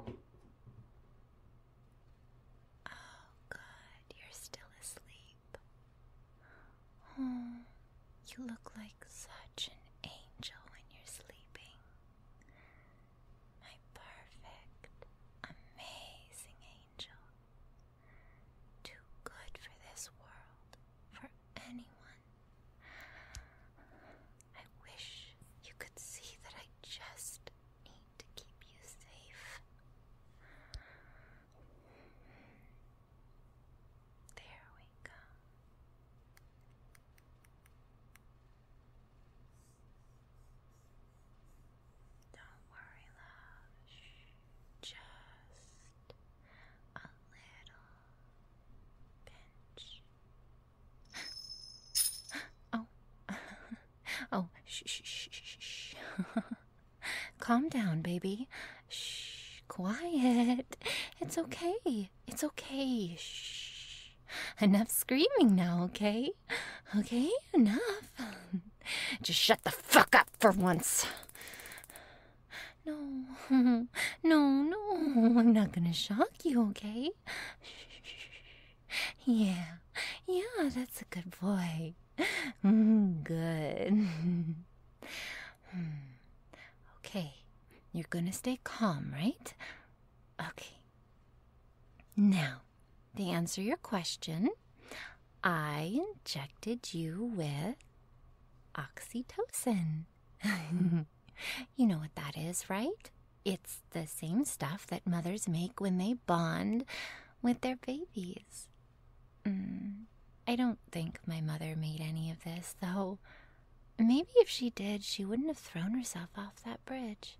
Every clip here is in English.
Oh, good, you're still asleep. Oh, you look like such an angel when you're sleeping. My perfect, amazing angel. Too good for this world, for anyone I wish you could see that I just need to keep you safe. There we go. Don't worry, love. Just a little oh, oh, shh, shh, shh, shh. Calm down, baby. Shh, quiet. It's okay. It's okay. Shh. Enough screaming now, okay? Okay, enough. Just shut the fuck up for once. No, no, no, I'm not gonna shock you, okay? Yeah, yeah, that's a good boy. Mm-hmm, good. Hmm. okay, you're gonna stay calm, right? Okay. Now, to answer your question, I injected you with oxytocin. You know what that is, right? It's the same stuff that mothers make when they bond with their babies. Mm. I don't think my mother made any of this, though. Maybe if she did, she wouldn't have thrown herself off that bridge.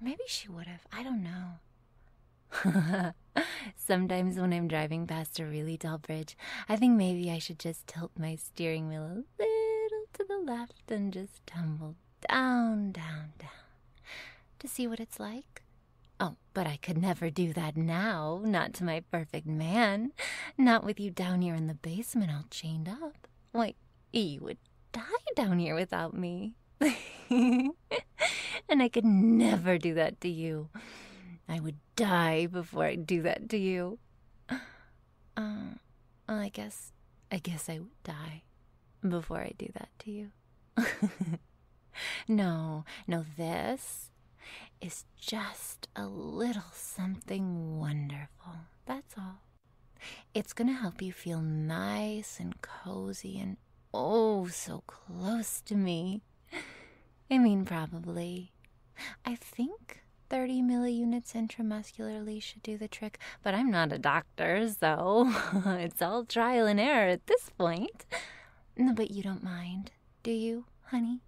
Or maybe she would have. I don't know. Sometimes when I'm driving past a really tall bridge, I think maybe I should just tilt my steering wheel a little to the left and just tumble down, down, down to see what it's like. Oh, but I could never do that now, not to my perfect man, not with you down here in the basement all chained up. Why, you would die down here without me. and I could never do that to you. I would die before I'd do that to you. Uh, I guess, I guess I would die before I do that to you. no, no, this is just a little something wonderful. That's all. It's going to help you feel nice and cozy and oh, so close to me. I mean, probably I think 30 milliunits intramuscularly should do the trick, but I'm not a doctor, so it's all trial and error at this point. But you don't mind, do you, honey?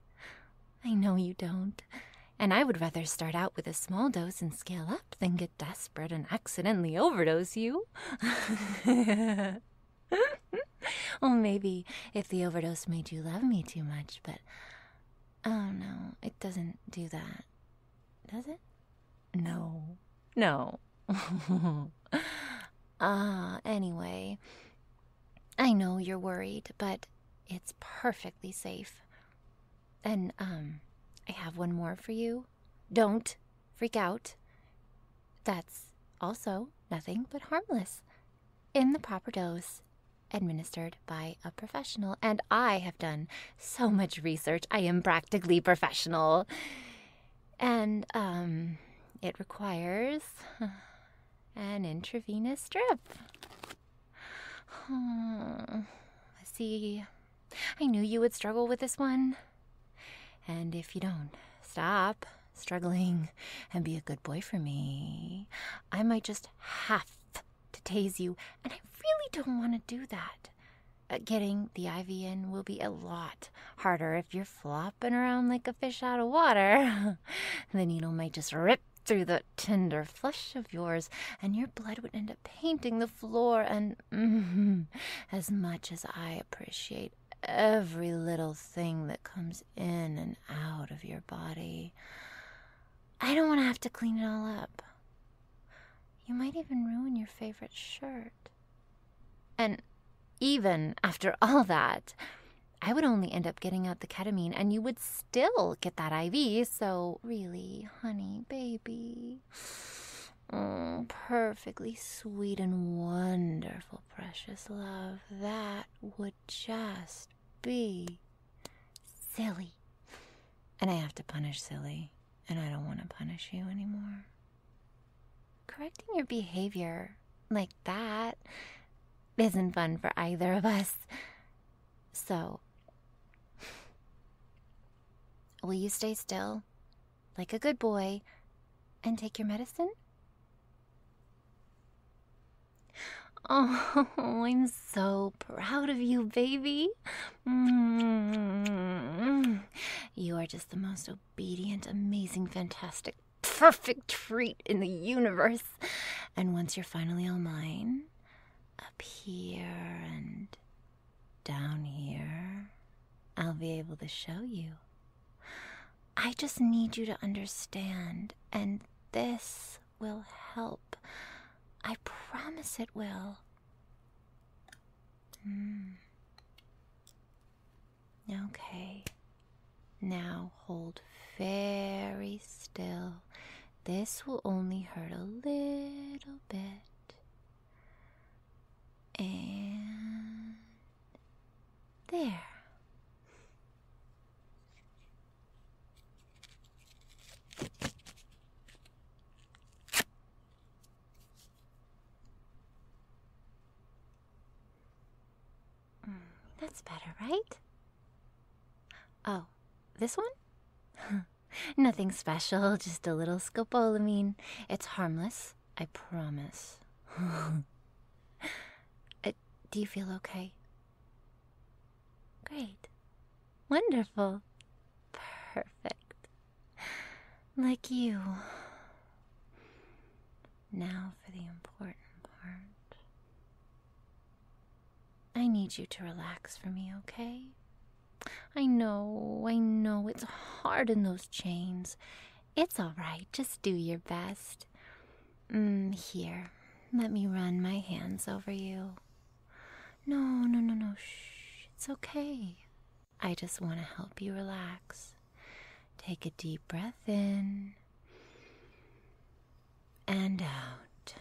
I know you don't. And I would rather start out with a small dose and scale up than get desperate and accidentally overdose you. well, maybe if the overdose made you love me too much, but Oh no, it doesn't do that. Does it? No. No. Ah, anyway. I know you're worried, but it's perfectly safe. And, um, I have one more for you. Don't freak out. That's also nothing but harmless in the proper dose, administered by a professional. And I have done so much research, I am practically professional. And, um, it requires an intravenous drip. Oh, see, I knew you would struggle with this one. And if you don't stop struggling and be a good boy for me, I might just have to tase you, and I really don't want to do that. Uh, getting the IV in will be a lot harder if you're flopping around like a fish out of water. the needle might just rip through the tender flesh of yours, and your blood would end up painting the floor. And mm-hmm, as much as I appreciate every little thing that comes in and out of your body, I don't want to have to clean it all up. You might even ruin your favorite shirt. And even after all that, I would only end up getting out the ketamine and you would still get that IV. So, really, honey, baby. Mm, perfectly sweet and wonderful, precious love. That would just be Silly. And I have to punish Silly, and I don't want to punish you anymore. Correcting your behavior like that isn't fun for either of us. So, will you stay still, like a good boy, and take your medicine? Oh, I'm so proud of you, baby. Mm. You are just the most obedient, amazing, fantastic, perfect treat in the universe. And once you're finally all mine, up here and down here, I'll be able to show you. I just need you to understand, and this will help. I promise it will. Hmm. Okay. Now hold very still. This will only hurt a little bit. And there. Mm, that's better, right? Oh, this one? Nothing special, just a little scopolamine. It's harmless, I promise. Uh, do you feel okay? Great. Wonderful. Perfect. Like you. Now for the important part. I need you to relax for me, okay? I know, I know, it's hard in those chains. It's alright, just do your best. Mm, here, let me run my hands over you. No, no, no, no. Shh. It's okay. I just want to help you relax. Take a deep breath in and out.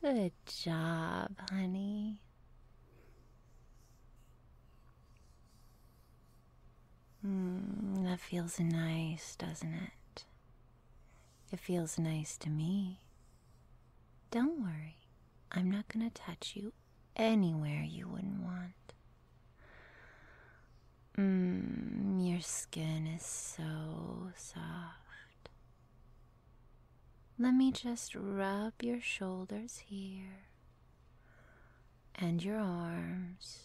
Good job, honey. Hmm, that feels nice, doesn't it? It feels nice to me. Don't worry, I'm not going to touch you anywhere you wouldn't want. Mmm, your skin is so soft. Let me just rub your shoulders here and your arms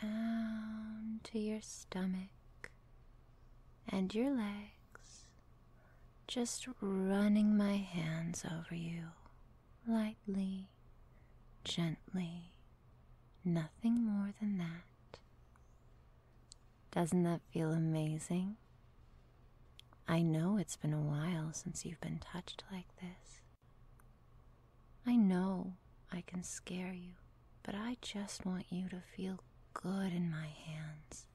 down to your stomach and your legs, just running my hands over you lightly, gently, nothing more than that. Doesn't that feel amazing? I know it's been a while since you've been touched like this. I know I can scare you but I just want you to feel good in my hands,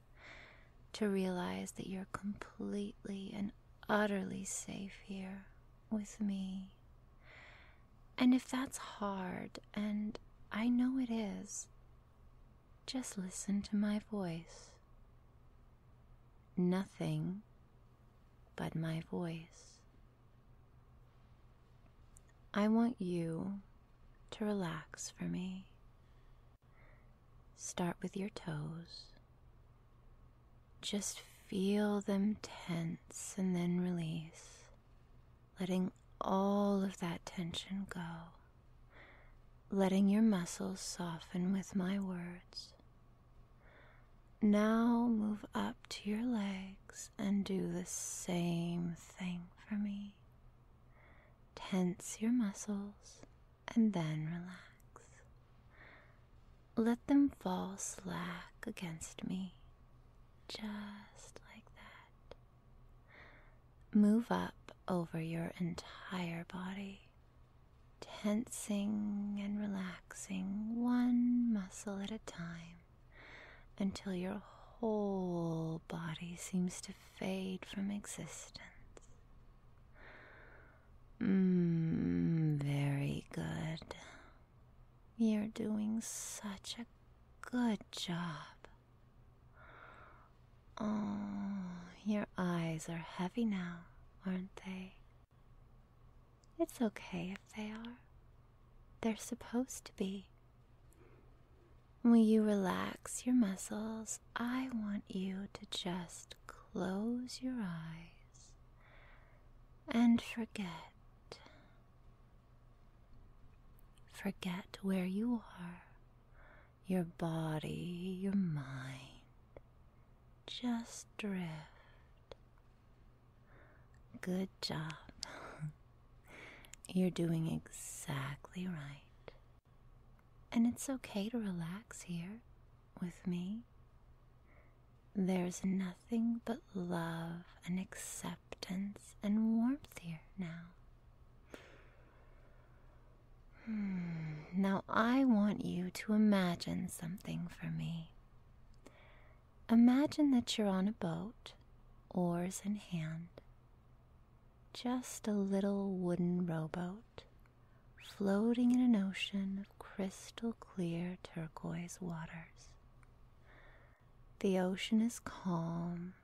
to realize that you're completely and utterly safe here with me. And if that's hard, and I know it is, just listen to my voice. Nothing but my voice. I want you to relax for me. Start with your toes. Just feel them tense and then release, letting all of that tension go, letting your muscles soften with my words. Now move up to your legs and do the same thing for me. Tense your muscles and then relax. Let them fall slack against me, just like that. Move up over your entire body, tensing and relaxing one muscle at a time until your whole body seems to fade from existence. Mm, very good. You're doing such a good job. Oh, your eyes are heavy now, aren't they? It's okay if they are. They're supposed to be. Will you relax your muscles? I want you to just close your eyes and forget. Forget where you are, your body, your mind. Just drift. Good job. You're doing exactly right. And it's okay to relax here with me. There's nothing but love and acceptance and warmth here now. Hmm. Now I want you to imagine something for me. Imagine that you're on a boat, oars in hand, just a little wooden rowboat floating in an ocean of crystal clear turquoise waters. The ocean is calm,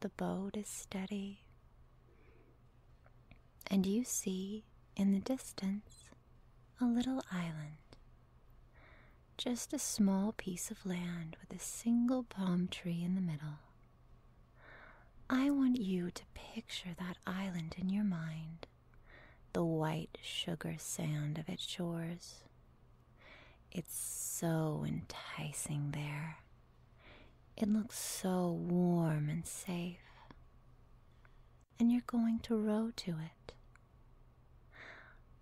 the boat is steady, and you see in the distance a little island. Just a small piece of land with a single palm tree in the middle. I want you to picture that island in your mind, the white sugar sand of its shores. It's so enticing there. It looks so warm and safe. And you're going to row to it.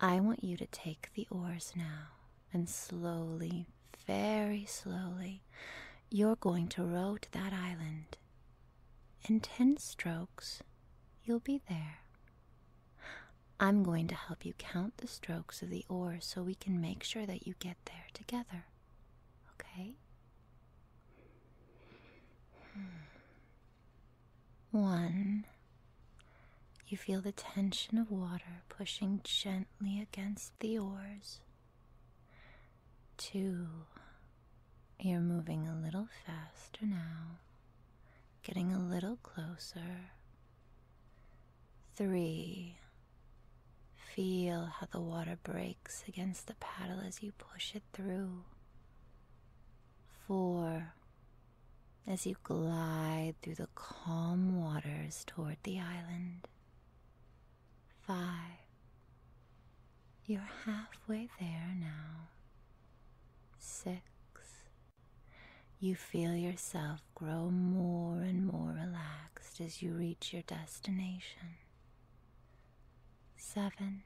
I want you to take the oars now and slowly, very slowly, you're going to row to that island. In 10 strokes, you'll be there. I'm going to help you count the strokes of the oars so we can make sure that you get there together. Okay? Hmm. One, you feel the tension of water pushing gently against the oars. Two, you're moving a little faster now, getting a little closer. Three, feel how the water breaks against the paddle as you push it through. Four, as you glide through the the calm waters toward the island. Five. You're halfway there now. Six. You feel yourself grow more and more relaxed as you reach your destination. Seven.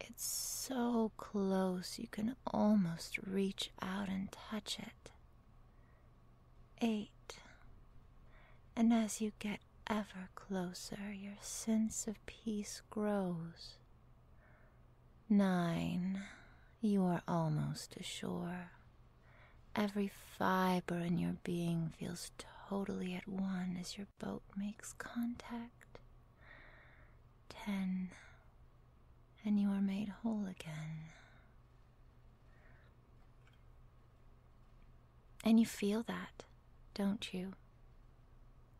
It's so close you can almost reach out and touch it. Eight. And as you get ever closer, your sense of peace grows. Nine. You are almost ashore. Every fiber in your being feels totally at one as your boat makes contact. Ten. And you are made whole again. And you feel that, don't you?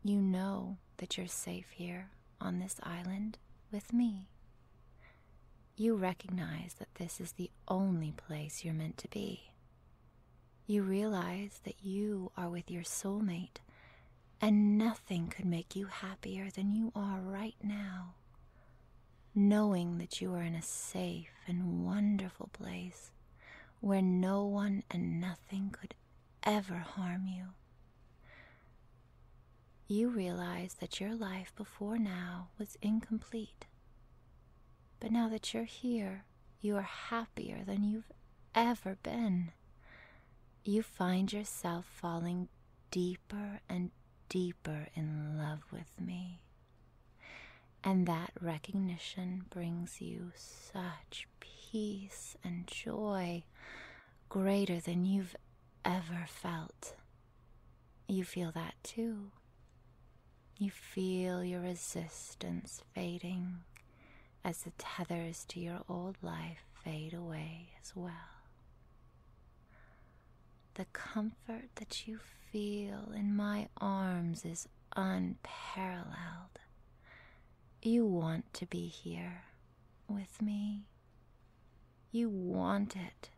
You know that you're safe here on this island with me. You recognize that this is the only place you're meant to be. You realize that you are with your soulmate, and nothing could make you happier than you are right now knowing that you are in a safe and wonderful place where no one and nothing could ever harm you. You realize that your life before now was incomplete. But now that you're here, you are happier than you've ever been. You find yourself falling deeper and deeper in love with me. And that recognition brings you such peace and joy greater than you've ever felt. You feel that too. You feel your resistance fading as the tethers to your old life fade away as well. The comfort that you feel in my arms is unparalleled. You want to be here with me. You want it.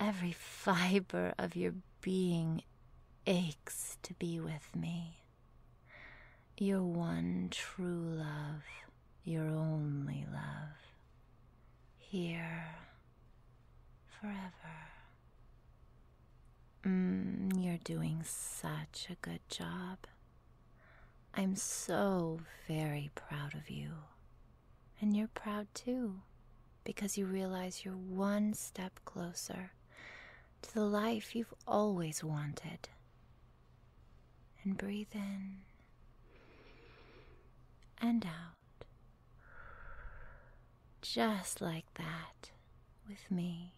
Every fiber of your being aches to be with me. Your one true love, your only love. Here forever. Mm, you're doing such a good job. I'm so very proud of you. And you're proud too, because you realize you're one step closer to the life you've always wanted. And breathe in and out. Just like that, with me.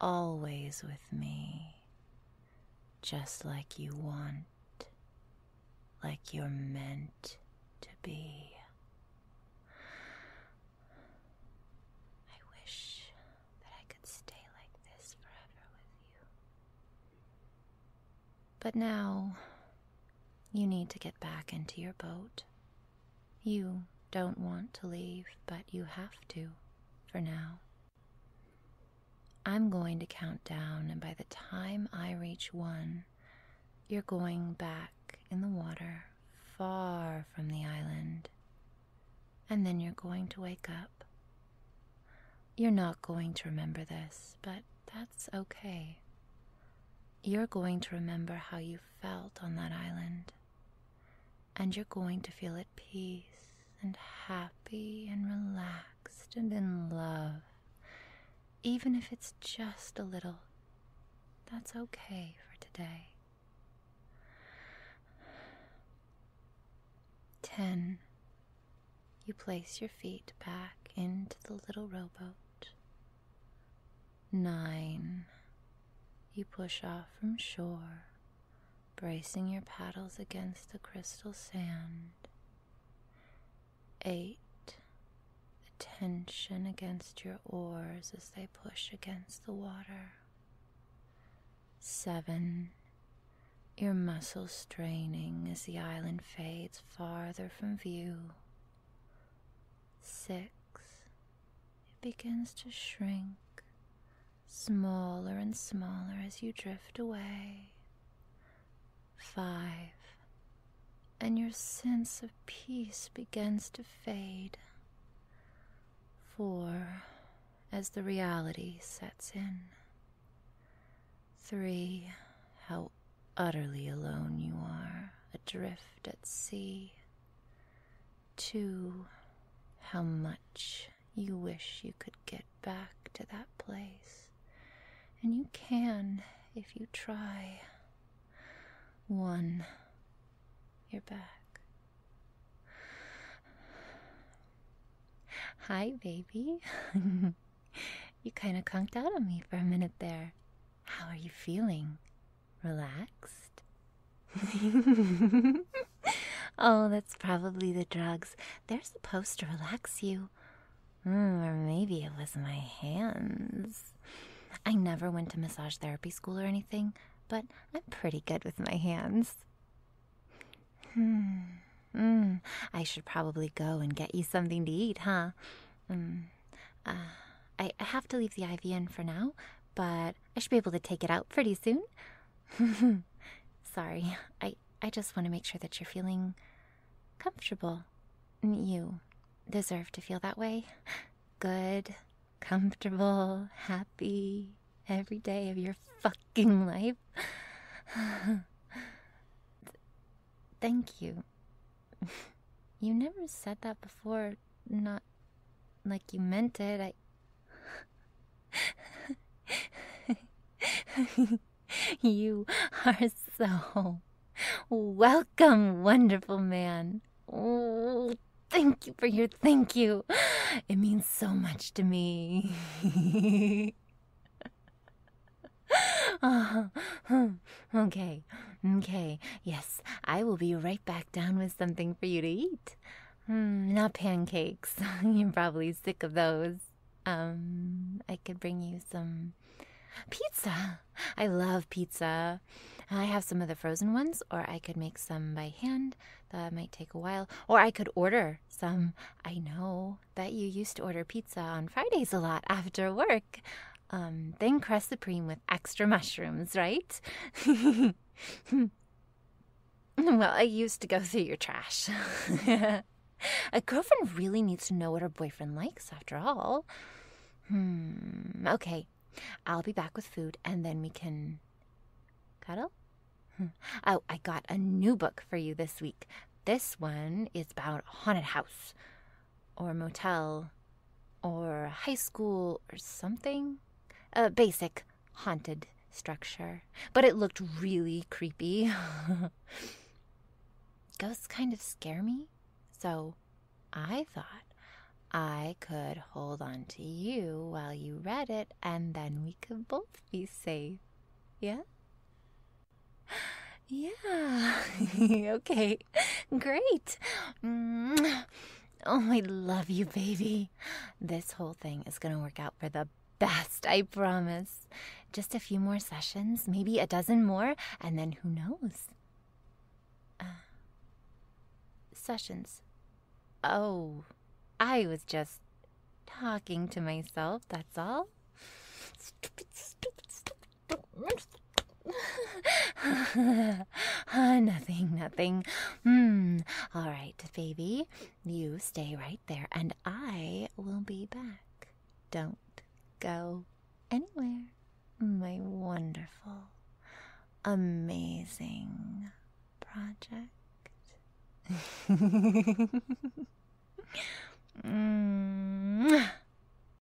Always with me. Just like you want, like you're meant to be. I wish that I could stay like this forever with you. But now you need to get back into your boat. You don't want to leave, but you have to for now. I'm going to count down, and by the time I reach one, you're going back in the water far from the island. And then you're going to wake up. You're not going to remember this, but that's okay. You're going to remember how you felt on that island, and you're going to feel at peace and happy and relaxed and in love, even if it's just a little. That's okay for today. 10. You place your feet back into the little rowboat. 9. You push off from shore, bracing your paddles against the crystal sand. 8. The tension against your oars as they push against the water. 7. Your muscles straining as the island fades farther from view. Six, it begins to shrink smaller and smaller as you drift away. Five, and your sense of peace begins to fade. Four, as the reality sets in. Three, how utterly alone you are, adrift at sea. Two, how much you wish you could get back to that place. And you can if you try. One, you're back. Hi, baby. you kind of conked out on me for a minute there. How are you feeling? Relaxed? oh, that's probably the drugs. They're supposed to relax you. Hmm, or maybe it was my hands. I never went to massage therapy school or anything, but I'm pretty good with my hands. Hmm. Mm, I should probably go and get you something to eat, huh? Mm. Uh, I, I have to leave the IV in for now, but I should be able to take it out pretty soon. Sorry, I, I just want to make sure that you're feeling comfortable. You deserve to feel that way. Good, comfortable, happy every day of your fucking life. Thank you. you never said that before, not like you meant it. I. you are so welcome, wonderful man. Oh, thank you for your thank you. It means so much to me. okay, okay. Yes, I will be right back down with something for you to eat. Hmm, not pancakes. You're probably sick of those. Um, I could bring you some pizza. I love pizza. I have some of the frozen ones, or I could make some by hand. That might take a while. Or I could order some. I know that you used to order pizza on Fridays a lot after work. Um, then crust supreme with extra mushrooms, right? well, I used to go through your trash. A girlfriend really needs to know what her boyfriend likes, after all. Hmm, okay. I'll be back with food and then we can cuddle. Hmm. Oh, I got a new book for you this week. This one is about haunted house or motel or high school or something. A basic haunted structure. But it looked really creepy. Ghosts kind of scare me, so I thought I could hold on to you while you read it and then we could both be safe. Yeah? Yeah. okay. Great. Mm. Oh, I love you, baby. This whole thing is going to work out for the best, I promise. Just a few more sessions, maybe a dozen more, and then who knows? Uh, sessions. Oh, I was just talking to myself, that's all. nothing, nothing. Hmm. All right, baby. You stay right there, and I will be back. Don't go anywhere, my wonderful, amazing project. -hmm.